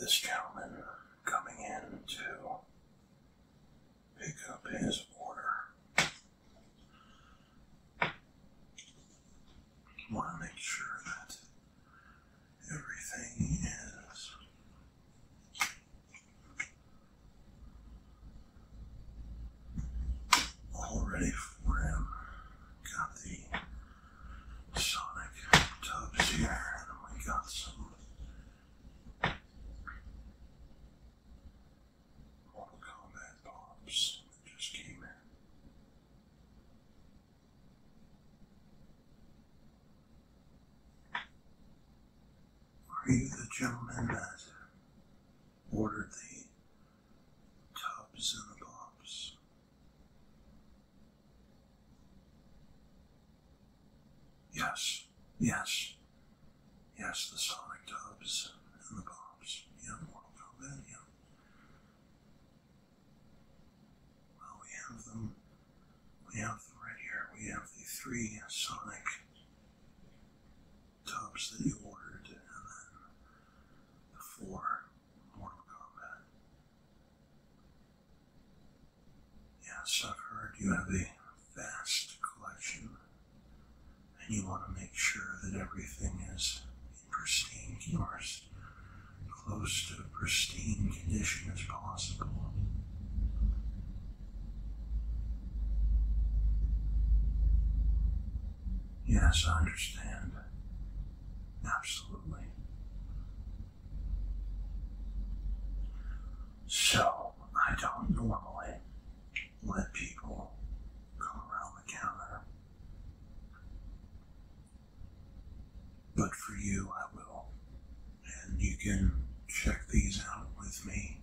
This gentleman coming in to pick up his order. Want to make sure that everything is all ready for him. Got the Sonic tubs here, and we got some Mortal Kombat pops just came in. Are you the gentleman that ordered the tubs and the pops? Yes, yes, yes, the sonic tubs and the bombs. Yeah, Mortal Kombat, Well, we have them. We have them right here. We have the three sonic tubs that you ordered, and then the four Mortal Kombat. Yes, I've heard you have a vast collection, and you want to make sure that everything is in pristine or close to pristine condition as possible. Yes, I understand. Absolutely. So, I don't normally let people come around the counter. But for you, I will. And you can check these out with me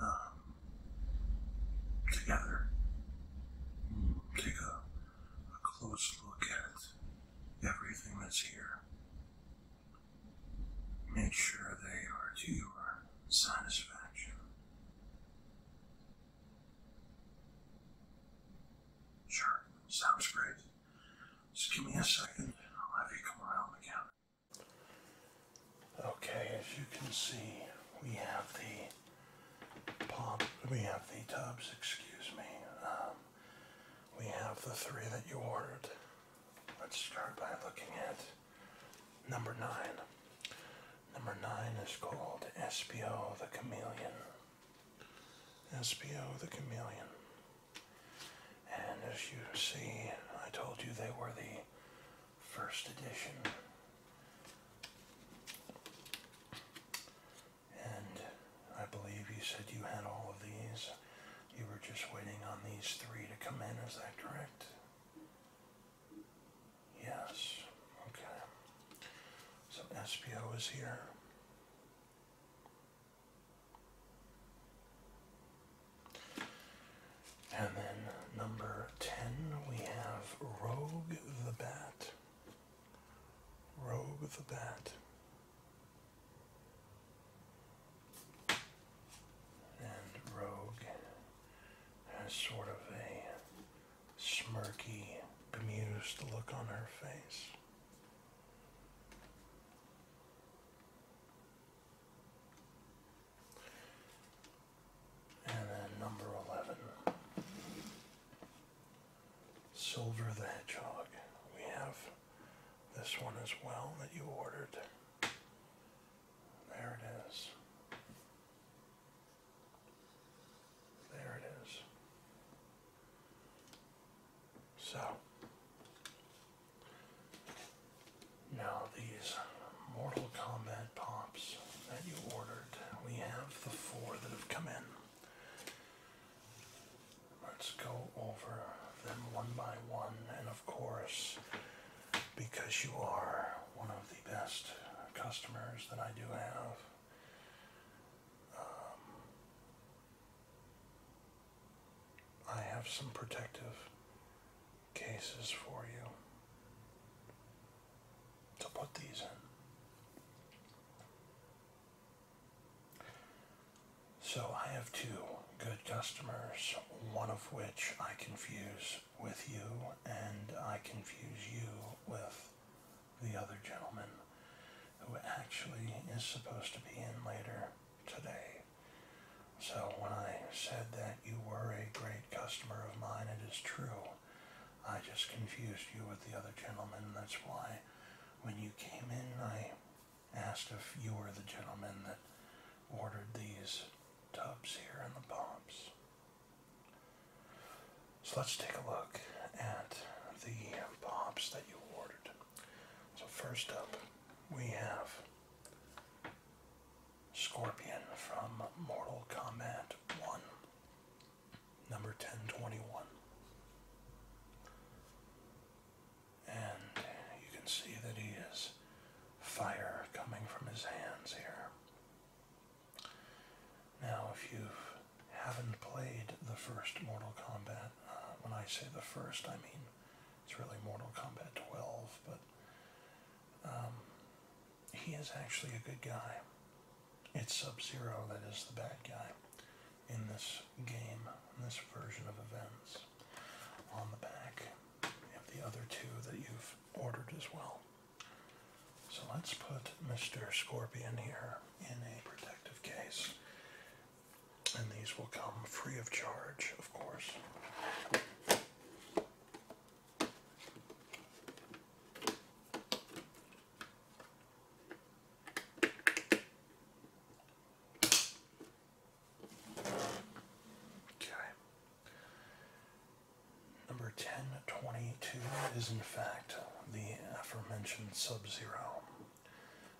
um, together. Mm, take a a close look at everything that's here. Make sure they are to your satisfaction. Sure, sounds great. Just give me a second, and I'll have you come around again. Okay, as you can see, we have the we have the tubs, excuse me. Um, we have the three that you ordered. Let's start by looking at number nine. Number nine is called SBO the Chameleon. SBO the Chameleon. And as you see, I told you they were the first edition. And I believe you said you had all of these. You were just waiting on these three to come in, is that correct? Yes. Okay. So SPO is here. And then number 10, we have Rogue the Bat. Rogue the Bat. And Rogue has sort of a smirky, bemused look on her face. And then number 11. Silver the Hedgehog. We have this one as well that you ordered. There it is. There it is. So, now these Mortal Kombat pops that you ordered, we have the four that have come in. Let's go over them one by one, and of course, because you are one of the best customers that I do have. Um, I have some protective cases for you to put these in. So I have two good customers, one of which I confuse with you, and I confuse you with the other gentleman who actually is supposed to be in later today. So when I said that you were a great customer of mine, it is true. I just confused you with the other gentleman. That's why when you came in, I asked if you were the gentleman that ordered these tubs here and the pops. So let's take a look at the pops that you ordered. So first up, we have Scorpion from Mortal Kombat 1 number 1021. And you can see that he is fire coming from his hands here. Now, if you haven't played the first Mortal Kombat, uh, when I say the first, I mean it's really Mortal Kombat 12, but um, he is actually a good guy. It's Sub Zero that is the bad guy in this game, in this version of events. On the back, you have the other two that you've ordered as well. So let's put Mr. Scorpion here in a protective case. And these will come free of charge, of course. Okay. Number 1022 is in fact the aforementioned Sub-Zero.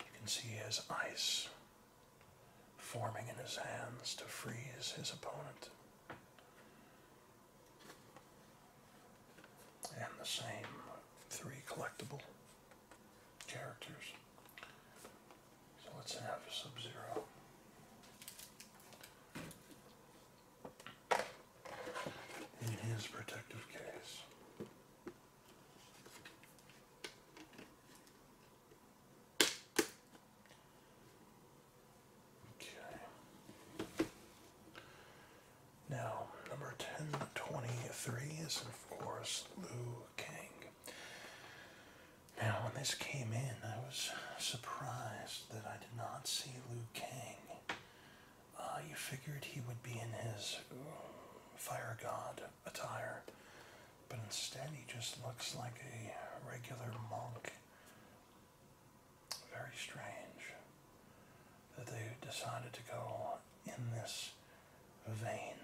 You can see his ice forming in his hands to freeze his opponent and the same three collectible characters. So let's have a Sub-Zero. In his protective case. Okay. Now, number 1023 is, of course, Liu Kang. Now, when this came in, I was surprised that I did not see Liu Kang. Uh, you figured he would be in his uh, fire god attire, but instead he just looks like a regular monk very strange that they decided to go in this vein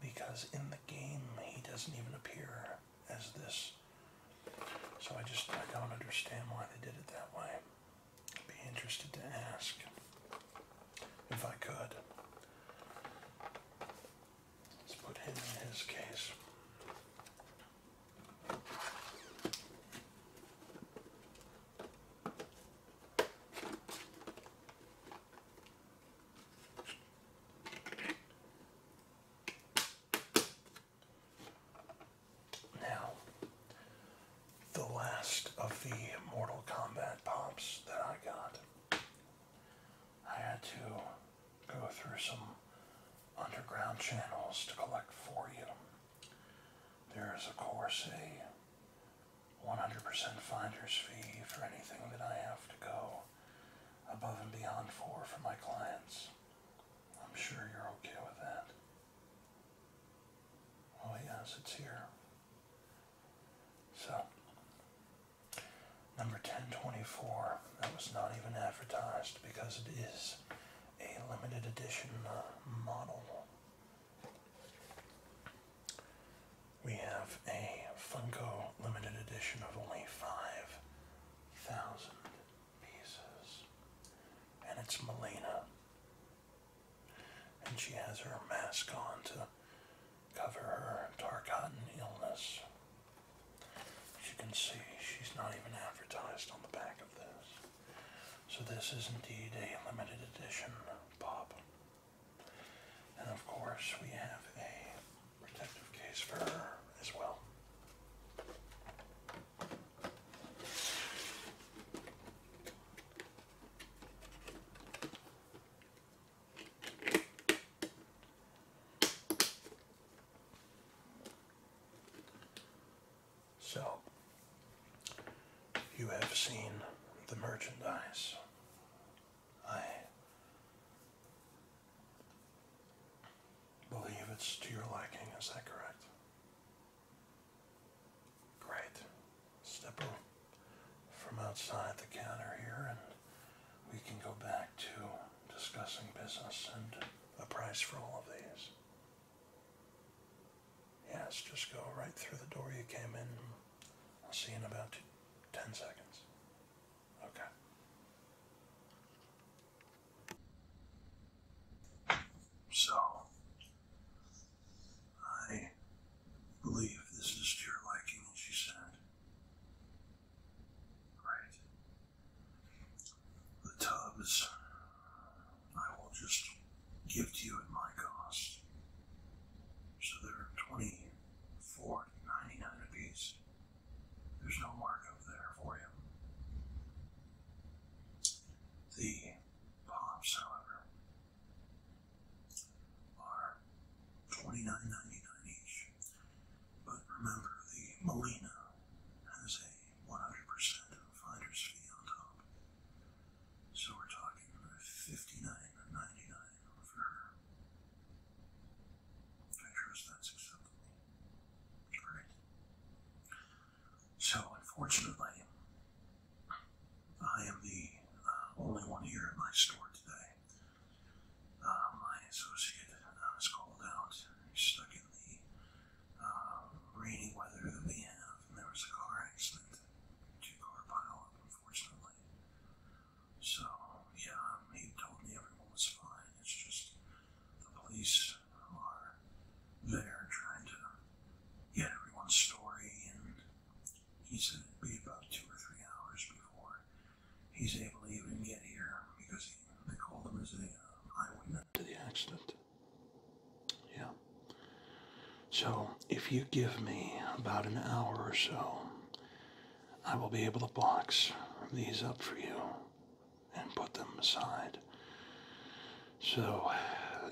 because in the game he doesn't even appear as this. So I just I don't understand why they did it that way. I'd be interested to ask if I could. Let's put him in his case. Now, the last of the Mortal Kombat pops that I got, I had to go through some underground channels to collect for you. There is, of course, a 100% finder's fee for anything that I have to go above and beyond for for my clients. I'm sure you're okay with that. Oh yes, it's here. So, number 1024, that was not even advertised because it is a limited edition uh, model. We have a Funko limited edition of only 5,000 pieces. And it's Melina. And she has her mask on to cover her dark Tarkatan illness. As you can see, she's not even advertised on the back of this. So this is indeed a limited edition pop. And of course we have a protective case for her as well. So, you have seen the merchandise. I believe it's to your liking, is that correct? Great. Step up from outside the counter here and we can go back to discussing business and a price for all of these. Yes, just go right through the door you came in. I'll see you in about 10 seconds. Okay. So, I believe this is to your liking, as said. Great the tubs I will just give to you at my cost. So they're 99 a piece. There's no markup there for you. The pops, however, are 29 99 each. But remember, the Molina has a 100% finder's fee on top. So we're talking $59.99 for her. I trust that's acceptable. Great. So, unfortunately, I am the uh, only one here in my store today. Uh, my associate uh, called out. stuck in the uh, um, rainy weather that we have. And there was a car accident, two car pileup, unfortunately. So, yeah, he told me everyone was fine. It's just the police are there trying to get everyone's story, and he said it'd be about two or three hours before he's able to even get here because he, they called him as a uh, eyewitness. To the accident. Yeah. So, if you give me about an hour or so, I will be able to box these up for you and put them aside. So,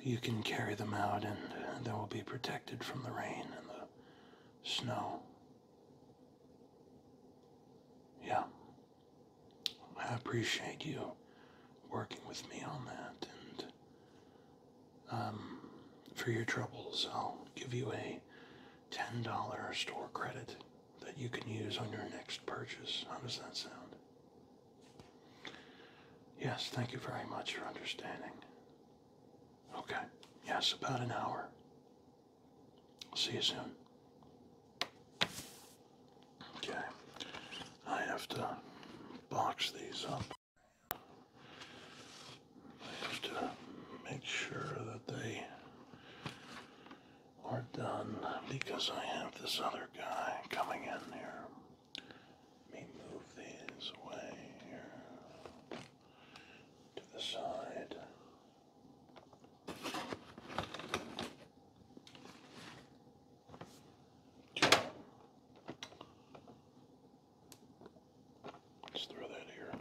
you can carry them out and they will be protected from the rain and the snow. Yeah. I appreciate you working with me on that, and um, for your troubles, I'll give you a $10 store credit that you can use on your next purchase. How does that sound? Yes, thank you very much for understanding. Okay, yes, about an hour. I'll see you soon. Okay, I have to box these up. I have to make sure that they are done because I have this other guy coming in here. Let me move these away here to the side. Let's throw that here.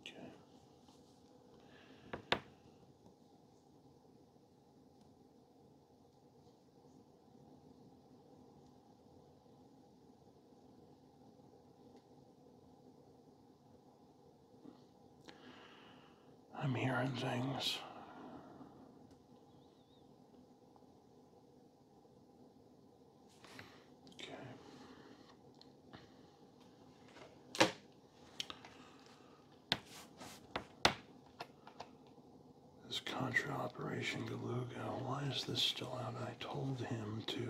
Okay. I'm hearing things. Okay. This Contra Operation Galuga, why is this still out? I told him to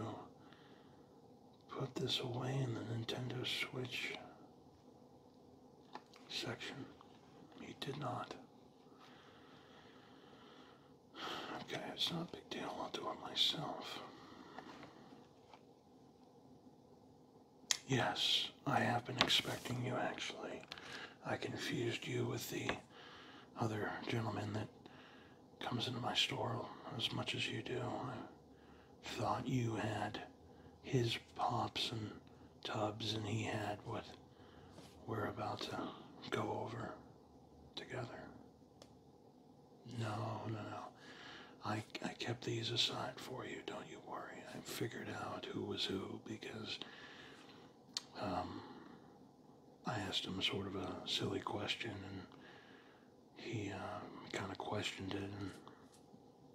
put this away in the Nintendo Switch section. He did not. Okay, it's not a big deal. I'll do it myself. Yes, I have been expecting you actually. I confused you with the other gentleman that comes into my store as much as you do thought you had his pops and tubs and he had what we're about to go over together. No, no, no. I, I kept these aside for you, don't you worry. I figured out who was who because um, I asked him sort of a silly question and he um, kind of questioned it,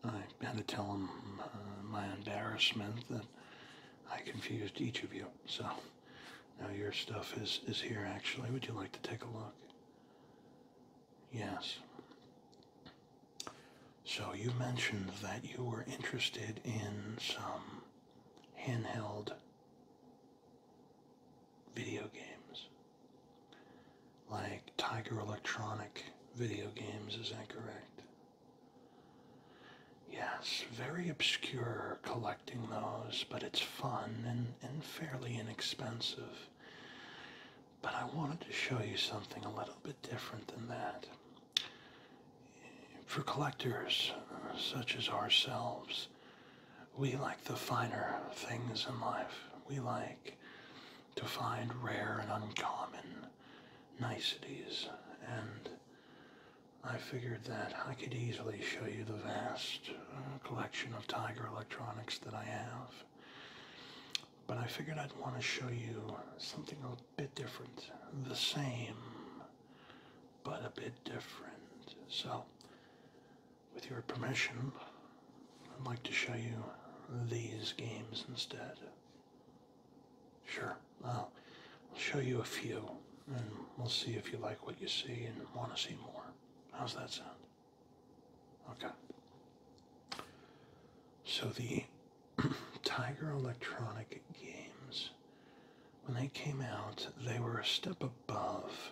and I had to tell him uh, my embarrassment that I confused each of you. So now your stuff is, is here, actually. Would you like to take a look? Yes. So you mentioned that you were interested in some handheld video games like Tiger Electronic video games, is that correct? Yes, very obscure collecting those, but it's fun and, and fairly inexpensive. But I wanted to show you something a little bit different than that. For collectors uh, such as ourselves, we like the finer things in life. We like to find rare and uncommon niceties, and I figured that I could easily show you the vast uh, collection of Tiger electronics that I have. But I figured I'd want to show you something a bit different. The same, but a bit different. So, with your permission, I'd like to show you these games instead. Sure, I'll show you a few, and we'll see if you like what you see and want to see more. How's that sound? Okay. So the Tiger Electronic games, when they came out, they were a step above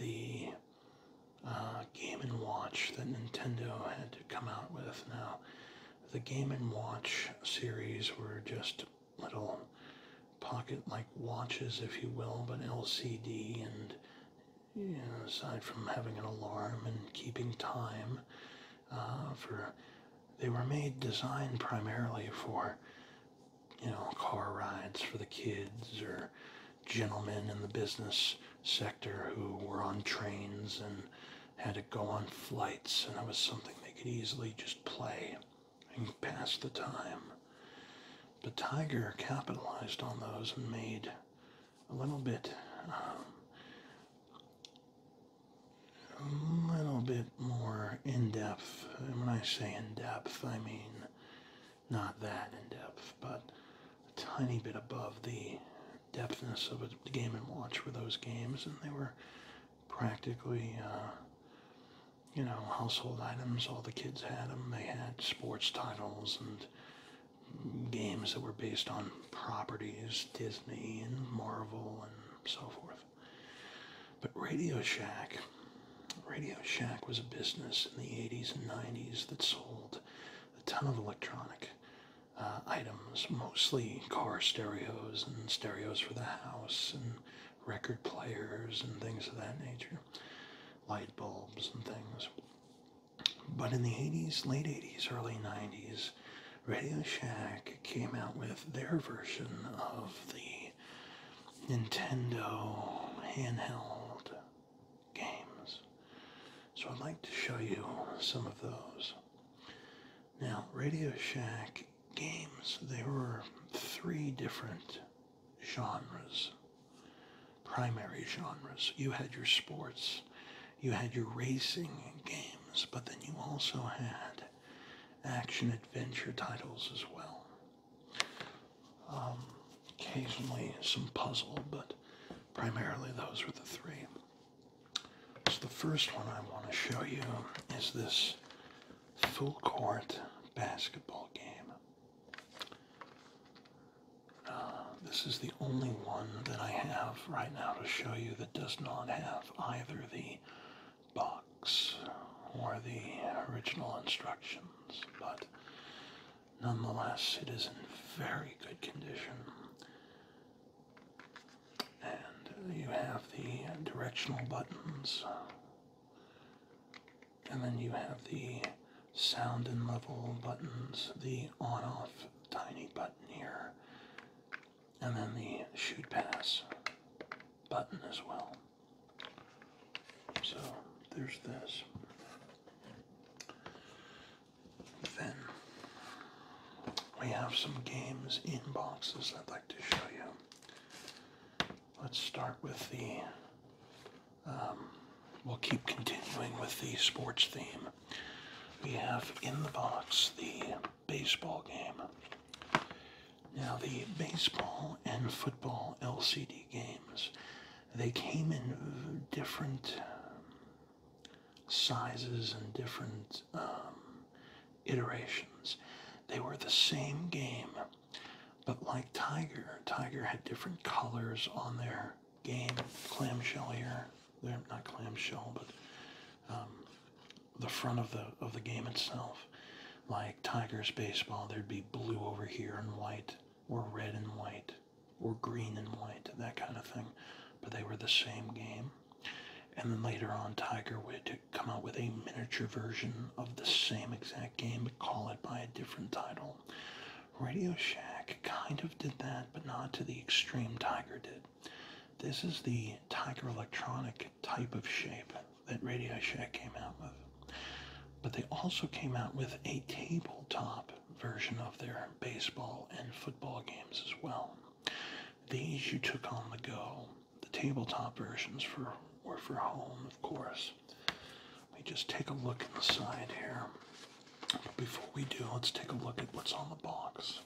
the uh, Game and Watch that Nintendo had to come out with. Now, the Game and Watch series were just little pocket-like watches, if you will, but LCD and yeah. aside from having an alarm and keeping time, uh, for they were made designed primarily for you know car rides for the kids or gentlemen in the business sector who were on trains and had to go on flights, and that was something they could easily just play and pass the time. But Tiger capitalized on those and made a little bit, um, a little bit more in depth. And when I say in depth, I mean not that in depth, but a tiny bit above the depthness of a game and watch were those games, and they were practically, uh, you know, household items. All the kids had them. They had sports titles and games that were based on properties, Disney and Marvel and so forth. But Radio Shack Radio Shack was a business in the 80s and 90s that sold a ton of electronic uh, items, mostly car stereos and stereos for the house and record players and things of that nature, light bulbs and things. But in the 80s, late 80s, early 90s, Radio Shack came out with their version of the Nintendo handheld games. So I'd like to show you some of those. Now, Radio Shack games, they were three different genres, primary genres. You had your sports, you had your racing games, but then you also had action adventure titles as well. Um, occasionally some puzzle, but primarily those are the three. So the first one I want to show you is this full court basketball game. Uh, this is the only one that I have right now to show you that does not have either the box or the original instructions, but Nonetheless, it is in very good condition. And you have the directional buttons. And then you have the sound and level buttons, the on-off tiny button here, and then the shoot pass button as well. So there's this. Then we have some games in boxes I'd like to show you. Let's start with the. Um, we'll keep continuing with the sports theme. We have in the box the baseball game. Now, the baseball and football LCD games they came in different um, sizes and different um, iterations. They were the same game, but like Tiger, Tiger had different colors on their game. Clamshell here, they're not clamshell, but um, the front of the of the game itself. Like Tigers baseball, there'd be blue over here and white or red and white or green and white, that kind of thing. But they were the same game. And then later on, Tiger would come out with a miniature version of the same exact game, but call it by a different title. Radio Shack kind of did that, but not to the extreme Tiger did. This is the Tiger Electronic type of shape that Radio Shack came out with. But they also came out with a tabletop version of their baseball and football games as well. These you took on the go. The tabletop versions for were for home, of course. Let me just take a look inside here. before we do, let's take a look at what's on the box.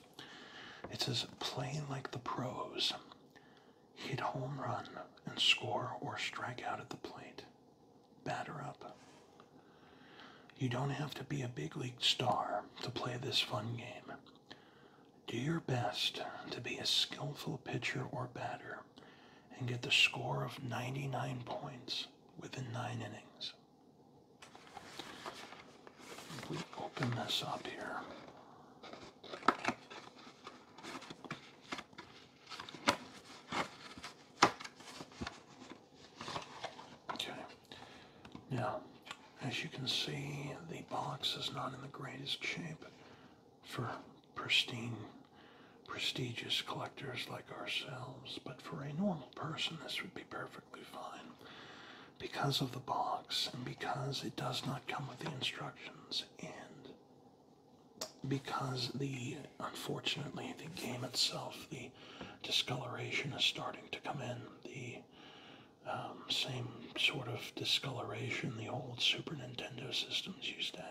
It says "Playing like the pros, hit home run, and score or strike out at the plate batter up. You don't have to be a big league star to play this fun game. Do your best to be a skillful pitcher or batter and get the score of 99 points within 9 innings. we open this up here. Okay. Now, as you can see, the box is not in the greatest shape for pristine, prestigious collectors like ourselves, but for a normal person, this would be perfectly fine. Because of the box and because it does not come with the instructions and because the unfortunately the game itself, the discoloration is starting to come in. The um, same sort of discoloration the old Super Nintendo systems used to have.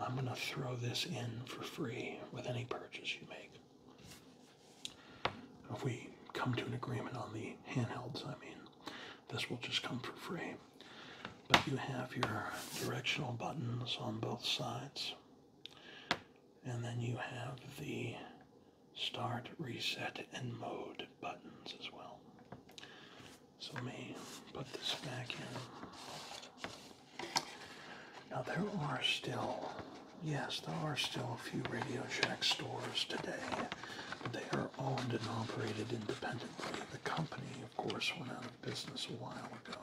I'm going to throw this in for free with any purchase you make. If we come to an agreement on the handhelds, I mean, this will just come for free. But you have your directional buttons on both sides. And then you have the start, reset, and mode buttons as well. So let me put this back in. Now there are still, yes, there are still a few Radio Shack stores today. They are owned and operated independently. The company, of course, went out of business a while ago.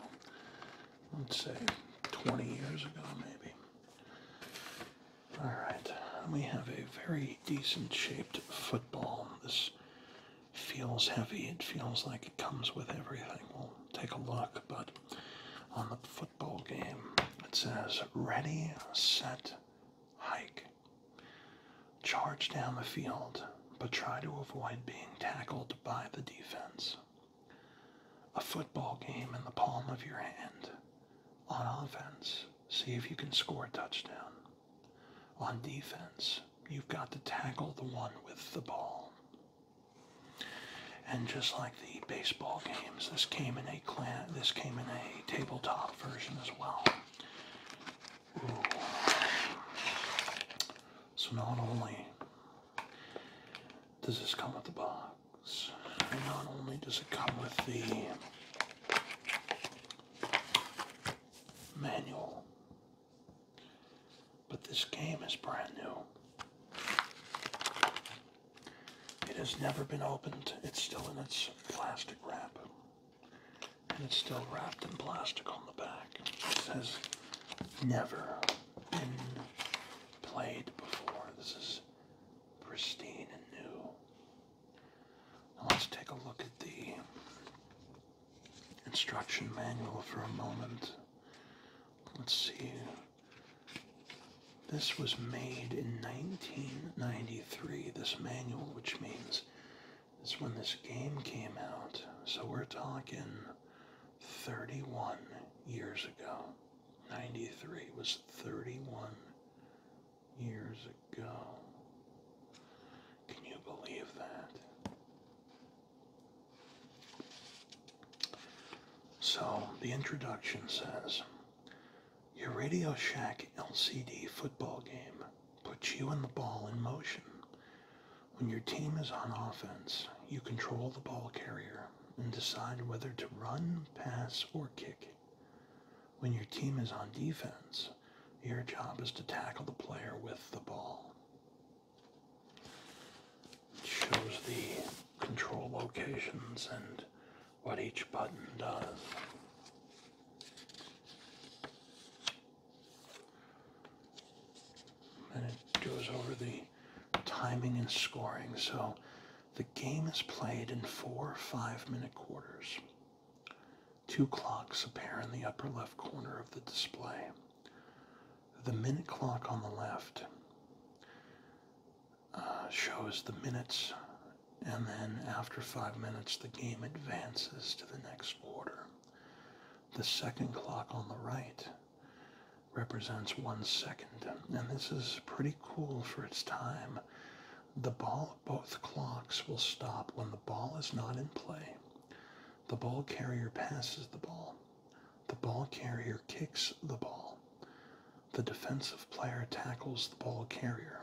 Let's say 20 years ago, maybe. Alright, we have a very decent shaped football. This feels heavy. It feels like it comes with everything. We'll take a look, but on the football game, it says ready, set, hike charge down the field, but try to avoid being tackled by the defense. A football game in the palm of your hand. On offense, see if you can score a touchdown. On defense, you've got to tackle the one with the ball. And just like the baseball games, this came in a this came in a tabletop version as well. So not only does this come with the box, not only does it come with the manual, but this game is brand new. It has never been opened. It's still in its plastic wrap. And it's still wrapped in plastic on the back. It has never been played before. This is pristine and new. let's take a look at the instruction manual for a moment. Let's see. This was made in 1993, this manual, which means is when this game came out. So we're talking 31 years ago. 93 was 31 years ago. Can you believe that? So the introduction says, your Radio Shack LCD football game Put you and the ball in motion. When your team is on offense, you control the ball carrier and decide whether to run, pass, or kick. When your team is on defense, your job is to tackle the player with the ball. shows the control locations and what each button does. And it goes over the timing and scoring. So the game is played in four five minute quarters. Two clocks appear in the upper left corner of the display. The minute clock on the left uh, shows the minutes, and then after five minutes, the game advances to the next quarter. The second clock on the right represents one second, and this is pretty cool for its time. The ball, both clocks will stop when the ball is not in play. The ball carrier passes the ball. The ball carrier kicks the ball. The defensive player tackles the ball carrier.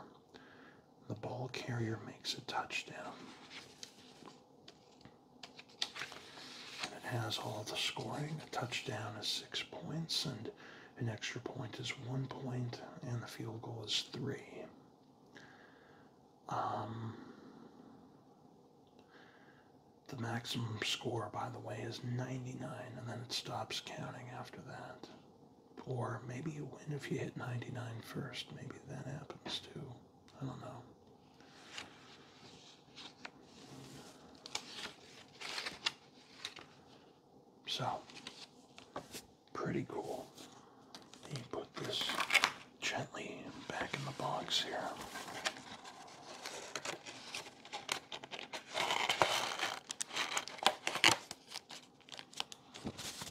The ball carrier makes a touchdown. And it has all the scoring. A touchdown is six points, and an extra point is one point, and the field goal is three. Um, the maximum score, by the way, is 99, and then it stops counting after that. Or maybe you win if you hit 99 first. Maybe that happens too. I don't know. So, pretty cool. You put this gently back in the box here.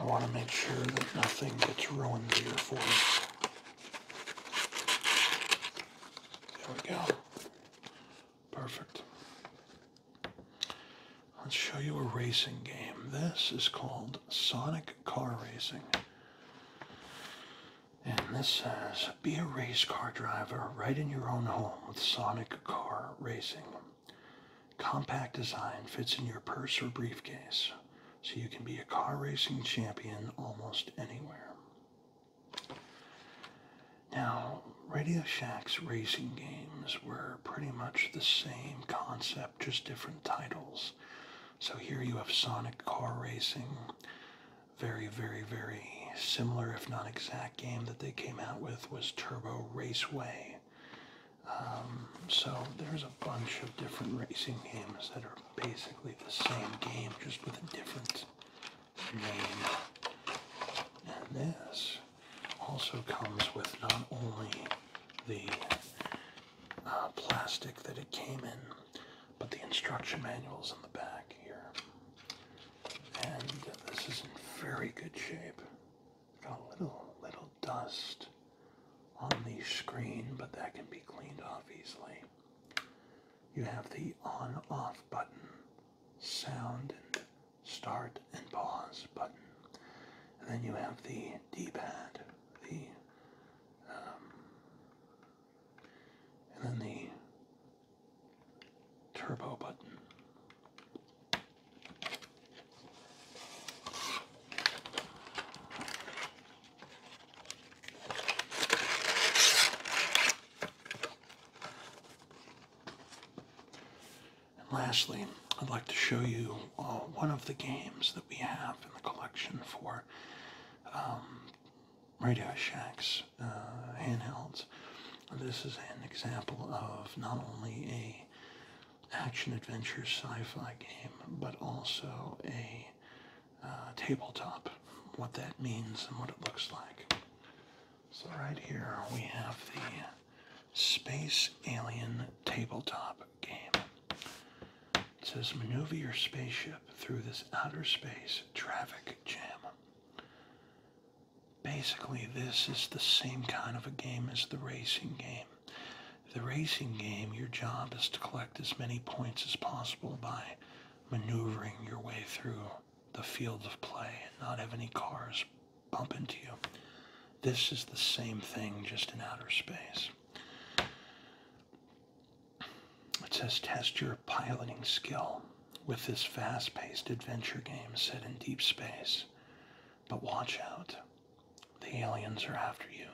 I want to make sure that nothing gets ruined here for you. There we go. Perfect. Let's show you a racing game. This is called Sonic Car Racing. And this says, be a race car driver right in your own home with Sonic car racing. Compact design fits in your purse or briefcase, so you can be a car racing champion almost anywhere. Now, Radio Shack's racing games were pretty much the same concept, just different titles. So here you have Sonic Car Racing, very, very, very similar, if not exact, game that they came out with was Turbo Raceway. Um, so there's a bunch of different racing games that are basically the same game, just with a different name. And this also comes with not only the uh, plastic that it came in, but the instruction manuals in the back here and this is in very good shape. Got a little, little dust on the screen, but that can be cleaned off easily. You have the on-off button, sound and start and pause button. And then you have the D-pad, the, um, and then the turbo button. And lastly, I'd like to show you uh, one of the games that we have in the collection for um, Radio Shack's uh, handhelds. This is an example of not only a action-adventure sci-fi game, but also a uh, tabletop, what that means and what it looks like. So right here we have the Space Alien tabletop game. It says maneuver your spaceship through this outer space traffic jam basically this is the same kind of a game as the racing game. The racing game, your job is to collect as many points as possible by maneuvering your way through the field of play and not have any cars bump into you. This is the same thing, just in outer space. It says test your piloting skill with this fast paced adventure game set in deep space. But watch out, the aliens are after you.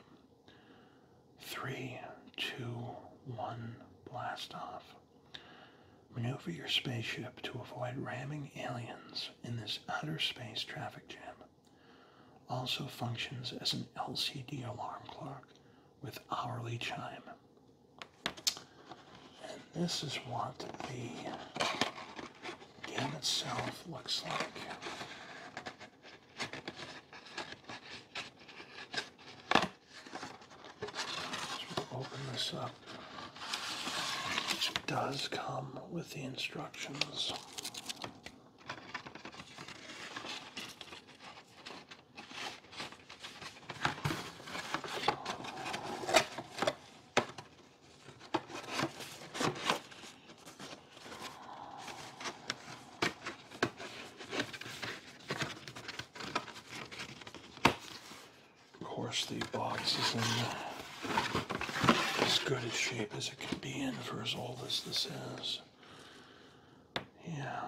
Three, two, one, blast off. Maneuver your spaceship to avoid ramming aliens in this outer space traffic jam. Also functions as an LCD alarm clock with hourly chime. And this is what the game itself looks like. open this up. does come with the instructions. Of course, the box is in as good a shape as it can be in for as old as this is. Yeah,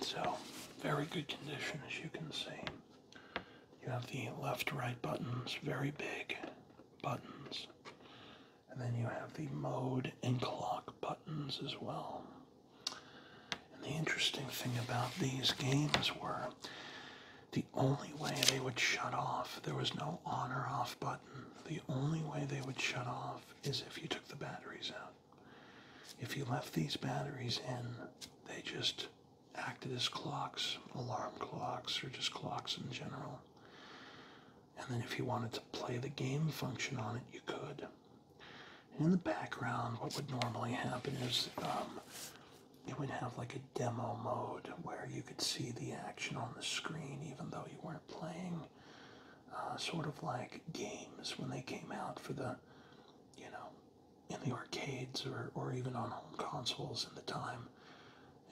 so very good condition as you can see. You have the left right buttons, very big buttons. And then you have the mode and clock buttons as well. And the interesting thing about these games were the only way they would shut off, there was no on or off button. The only way they would shut off is if you took the batteries out. If you left these batteries in, they just acted as clocks, alarm clocks, or just clocks in general. And then if you wanted to play the game function on it, you could. in the background, what would normally happen is um, it would have like a demo mode where you could see the action on the screen even though you weren't playing. Uh, sort of like games when they came out for the, you know, in the arcades or, or even on home consoles in the time.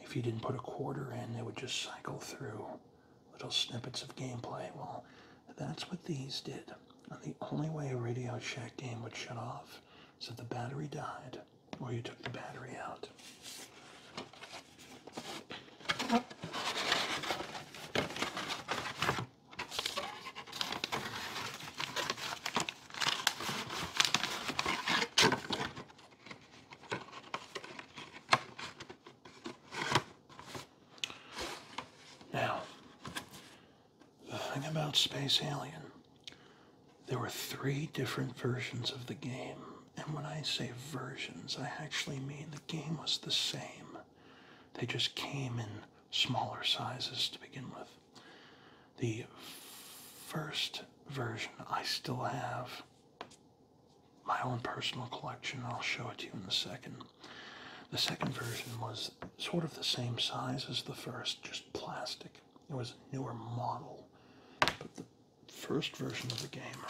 If you didn't put a quarter in, it would just cycle through little snippets of gameplay. Well, that's what these did. the only way a Radio Shack game would shut off is if the battery died or you took the battery out. Now, the thing about Space Alien, there were three different versions of the game. And when I say versions, I actually mean the game was the same. They just came in smaller sizes to begin with. The first version I still have. My own personal collection. I'll show it to you in a second. The second version was sort of the same size as the first, just plastic. It was a newer model. But the first version of the game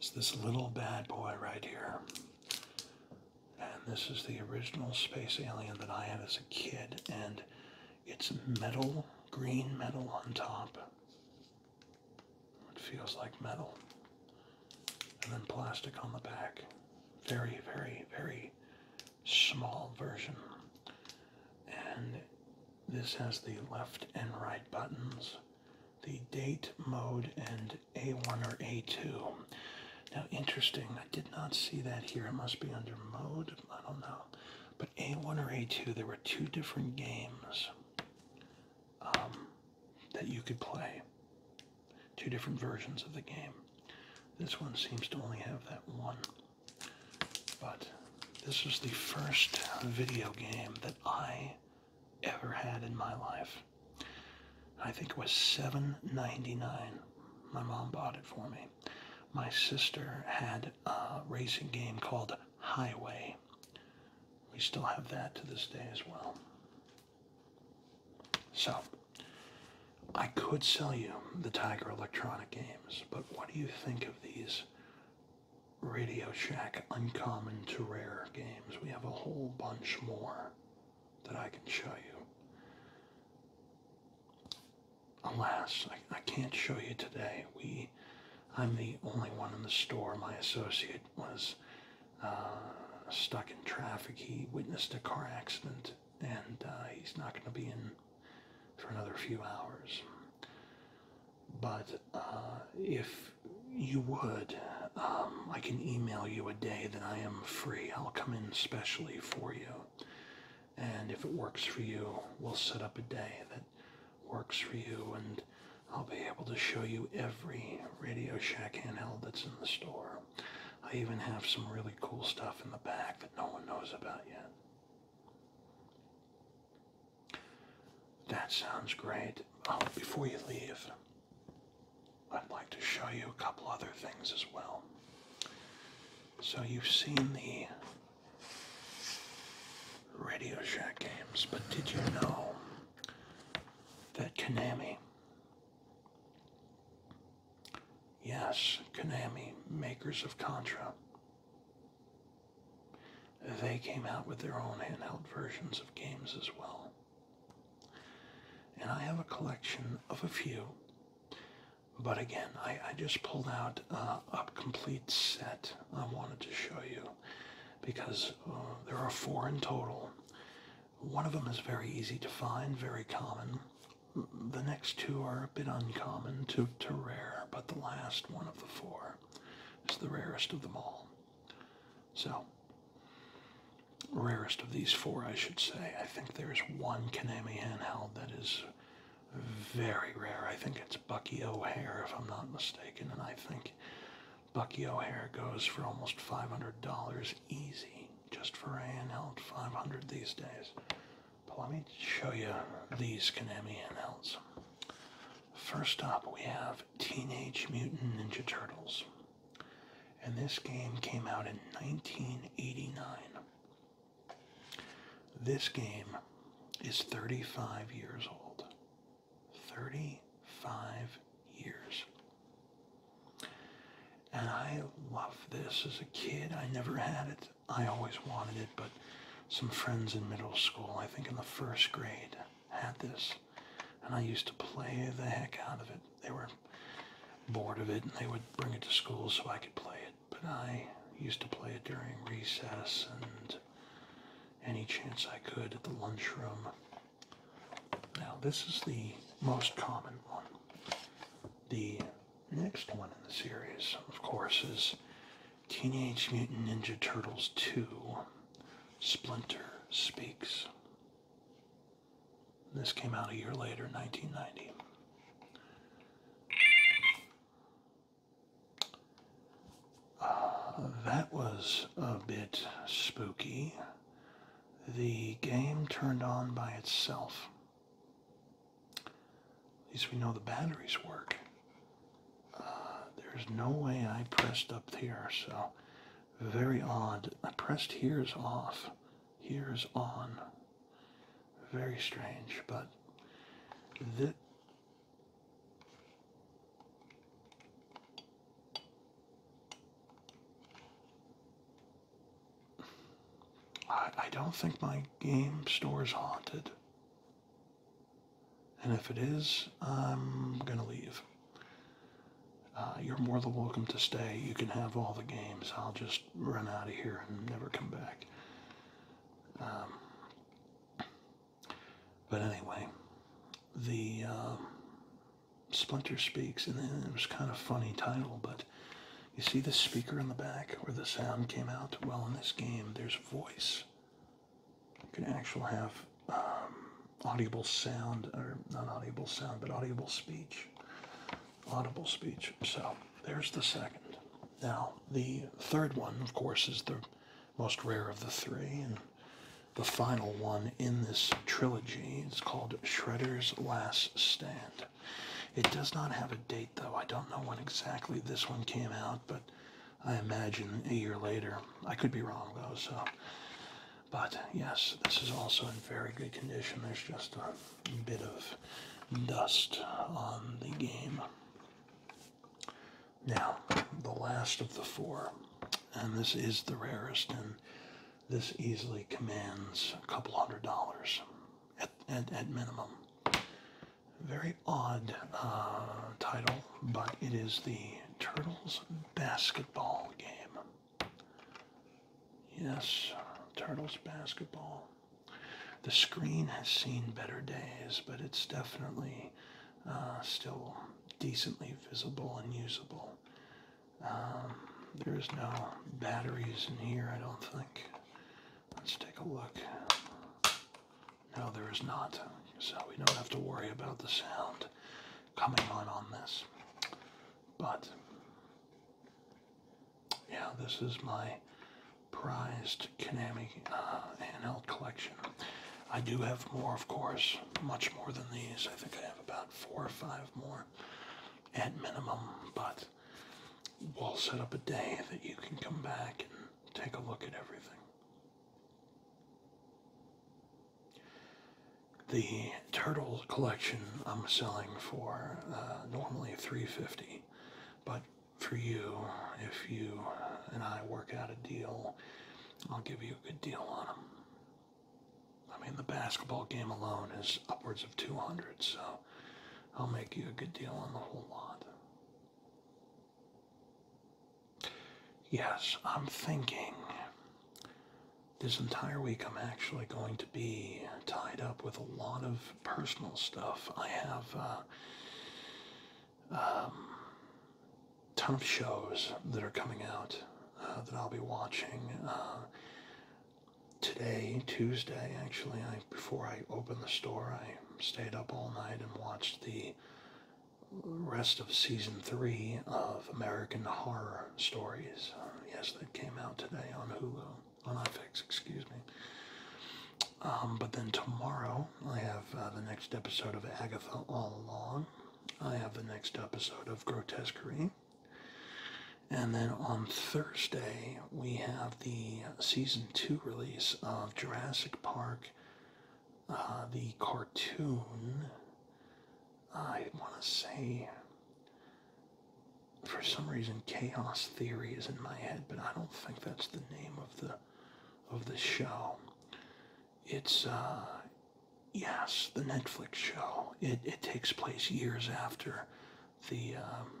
is this little bad boy right here. And this is the original space alien that I had as a kid. And it's metal, green metal on top. It feels like metal. And then plastic on the back. Very, very, very small version. And this has the left and right buttons, the date mode and a1 or A2. Now, interesting, I did not see that here. It must be under mode. I don't know. But A1 or A2, there were two different games um, that you could play, two different versions of the game. This one seems to only have that one. But this was the first video game that I ever had in my life. I think it was $7.99. My mom bought it for me. My sister had a racing game called Highway. We still have that to this day as well. So, I could sell you the Tiger Electronic games, but what do you think of these Radio Shack Uncommon to Rare games? We have a whole bunch more that I can show you. Alas, I, I can't show you today. We, I'm the only one in the store. My associate was uh, stuck in traffic. He witnessed a car accident, and uh, he's not going to be in for another few hours. But uh, if you would, um, I can email you a day that I am free. I'll come in specially for you. And if it works for you, we'll set up a day that works for you, and I'll be able to show you every Radio Shack handheld that's in the store. I even have some really cool stuff in the back that no one knows about yet. That sounds great. Oh, before you leave, I'd like to show you a couple other things as well. So you've seen the Radio Shack games, but did you know that Konami, yes, Konami, makers of Contra, they came out with their own handheld versions of games as well. And I have a collection of a few. But again, I, I just pulled out uh, a complete set I wanted to show you because uh, there are four in total. One of them is very easy to find, very common. The next two are a bit uncommon to, to rare, but the last one of the four is the rarest of them all. So, rarest of these four, I should say. I think there's one Konami handheld that is very rare. I think it's Bucky O'Hare, if I'm not mistaken, and I think Bucky O'Hare goes for almost $500 easy just for a handheld, 500 these days. But let me show you these Konami handhelds. First up, we have Teenage Mutant Ninja Turtles. And this game came out in 1989. This game is 35 years old. 35 years. And I loved this as a kid. I never had it. I always wanted it, but some friends in middle school, I think in the first grade, had this. And I used to play the heck out of it they were bored of it and they would bring it to school so I could play it. But I used to play it during recess and any chance I could at the lunchroom. Now this is the most common one. The next one in the series, of course, is Teenage Mutant Ninja Turtles 2 Splinter Speaks. This came out a year later, 1990. Uh, that was a bit spooky. The game turned on by itself. At least we know the batteries work. Uh, there's no way I pressed up here, so very odd. I pressed here's off. Here's on. Very strange, but this. I, I don't think my game store is haunted. And if it is, I'm gonna leave. Uh, you're more than welcome to stay. You can have all the games. I'll just run out of here and never come back. Um, but anyway, the uh, Splinter Speaks, and then it was kind of funny title, but you see the speaker in the back where the sound came out? Well, in this game, there's voice. You can actually have um, audible sound, or not audible sound, but audible speech. Audible speech. So there's the second. Now, the third one, of course, is the most rare of the three, and the final one in this trilogy It's called Shredder's Last Stand. It does not have a date, though. I don't know when exactly this one came out, but I imagine a year later. I could be wrong, though, so but yes, this is also in very good condition. There's just a bit of dust on the game. Now, the last of the four, and this is the rarest, and this easily commands a couple hundred dollars at, at, at minimum. Very odd uh, title, but it is the Turtles basketball game. Yes, Turtles basketball. The screen has seen better days, but it's definitely uh, still decently visible and usable. Um, there's no batteries in here, I don't think. Let's take a look. No, there is not, so we don't have to worry about the sound coming on on this. But yeah, this is my prized Konami uh, collection. I do have more, of course, much more than these. I think I have about four or five more at minimum, but we'll set up a day that you can come back and take a look at everything. The turtle collection I'm selling for uh, normally 350 but for you, if you and I work out a deal, I'll give you a good deal on them. I mean, the basketball game alone is upwards of 200, so I'll make you a good deal on the whole lot. Yes, I'm thinking this entire week, I'm actually going to be tied up with a lot of personal stuff. I have a uh, um, ton of shows that are coming out uh, that I'll be watching. Uh, today, Tuesday, actually, I before I opened the store, I stayed up all night and watched the rest of season three of American Horror Stories. Um, yes, that came out today on Hulu, on FX, excuse me. Um, but then tomorrow, I have uh, the next episode of Agatha All Along. I have the next episode of Grotesquerie. And then on Thursday, we have the season two release of Jurassic Park, uh, the cartoon. I want to say, for some reason, chaos theory is in my head, but I don't think that's the name of the of the show. It's uh, yes, the Netflix show. It it takes place years after the um,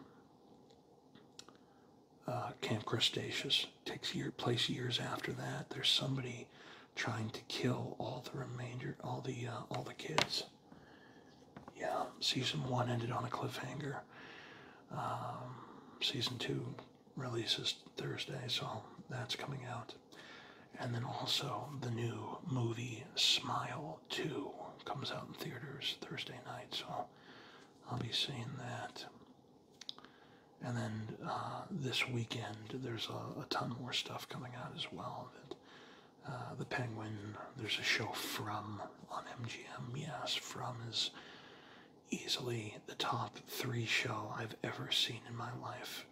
uh, Camp Cretaceous takes year place years after that. There's somebody trying to kill all the remainder, all the uh, all the kids. Yeah, season one ended on a cliffhanger. Um, season two releases Thursday, so that's coming out. And then also the new movie Smile 2 comes out in theaters Thursday night, so I'll be seeing that. And then uh, this weekend, there's a, a, ton more stuff coming out as well. Uh, the Penguin, there's a show From on MGM. Yes, From is easily the top three show I've ever seen in my life.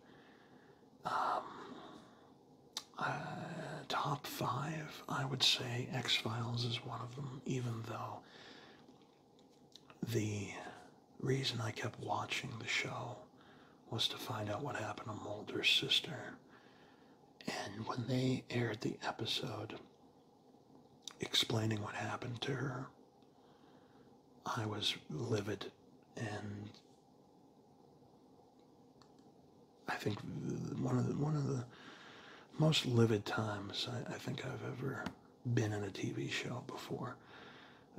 Um, uh, top five, I would say X Files is one of them, even though the reason I kept watching the show was to find out what happened to Mulder's sister. And when they aired the episode explaining what happened to her, I was livid and I think one of the one of the most livid times I, think I've ever been in a TV show before.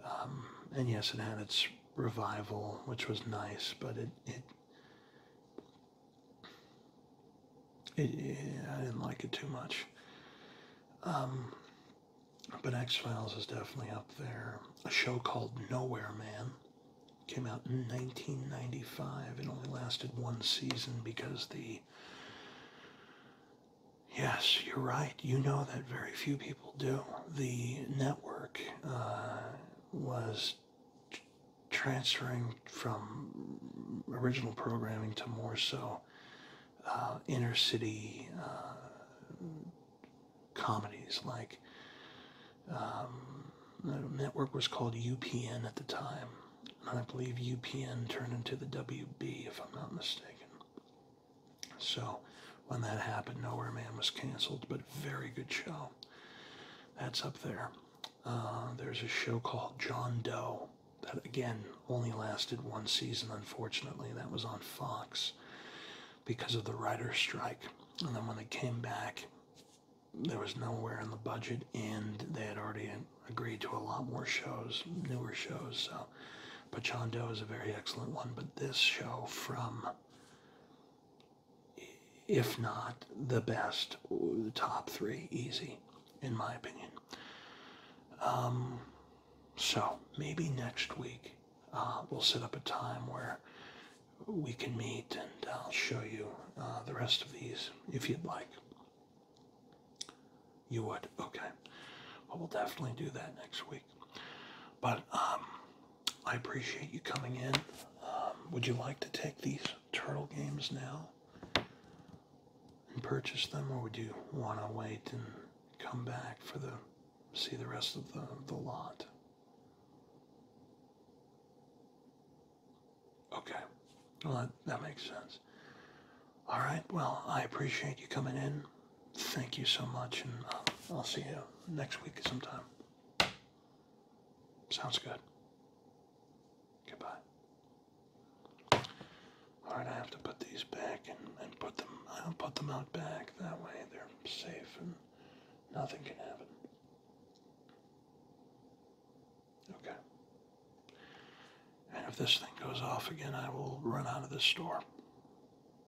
Um, and yes, it had its revival, which was nice, but it it, it, it I didn't like it too much. Um, but X Files is definitely up there. A show called Nowhere Man came out in 1995. It only lasted one season because the Yes, you're right. You know that very few people do. The network uh, was transferring from original programming to more so uh, inner city uh, comedies like um, the network was called UPN at the time and I believe UPN turned into the WB if I'm not mistaken so when that happened, Nowhere Man was canceled, but very good show. That's up there. Uh, there's a show called John Doe that again only lasted one season, unfortunately. That was on Fox because of the writer's strike. And then when they came back, there was nowhere in the budget, and they had already agreed to a lot more shows, newer shows. So, but John Doe is a very excellent one. But this show from if not the best, the top three, easy, in my opinion. Um, so maybe next week uh, we'll set up a time where we can meet and I'll uh, show you uh, the rest of these if you'd like. You would? Okay. Well, we'll definitely do that next week. But um, I appreciate you coming in. Um, would you like to take these turtle games now and purchase them, or would you want to wait and come back for the see the rest of the, the lot? Okay, well that, that makes sense. All right, well I appreciate you coming in thank you so much, and uh, I'll, see you next week sometime. Sounds good. Goodbye. All right, I have to put these back and, and put them. I'll put them out back. That way they're safe and nothing can happen. Okay. And if this thing goes off again, I will run out of this store.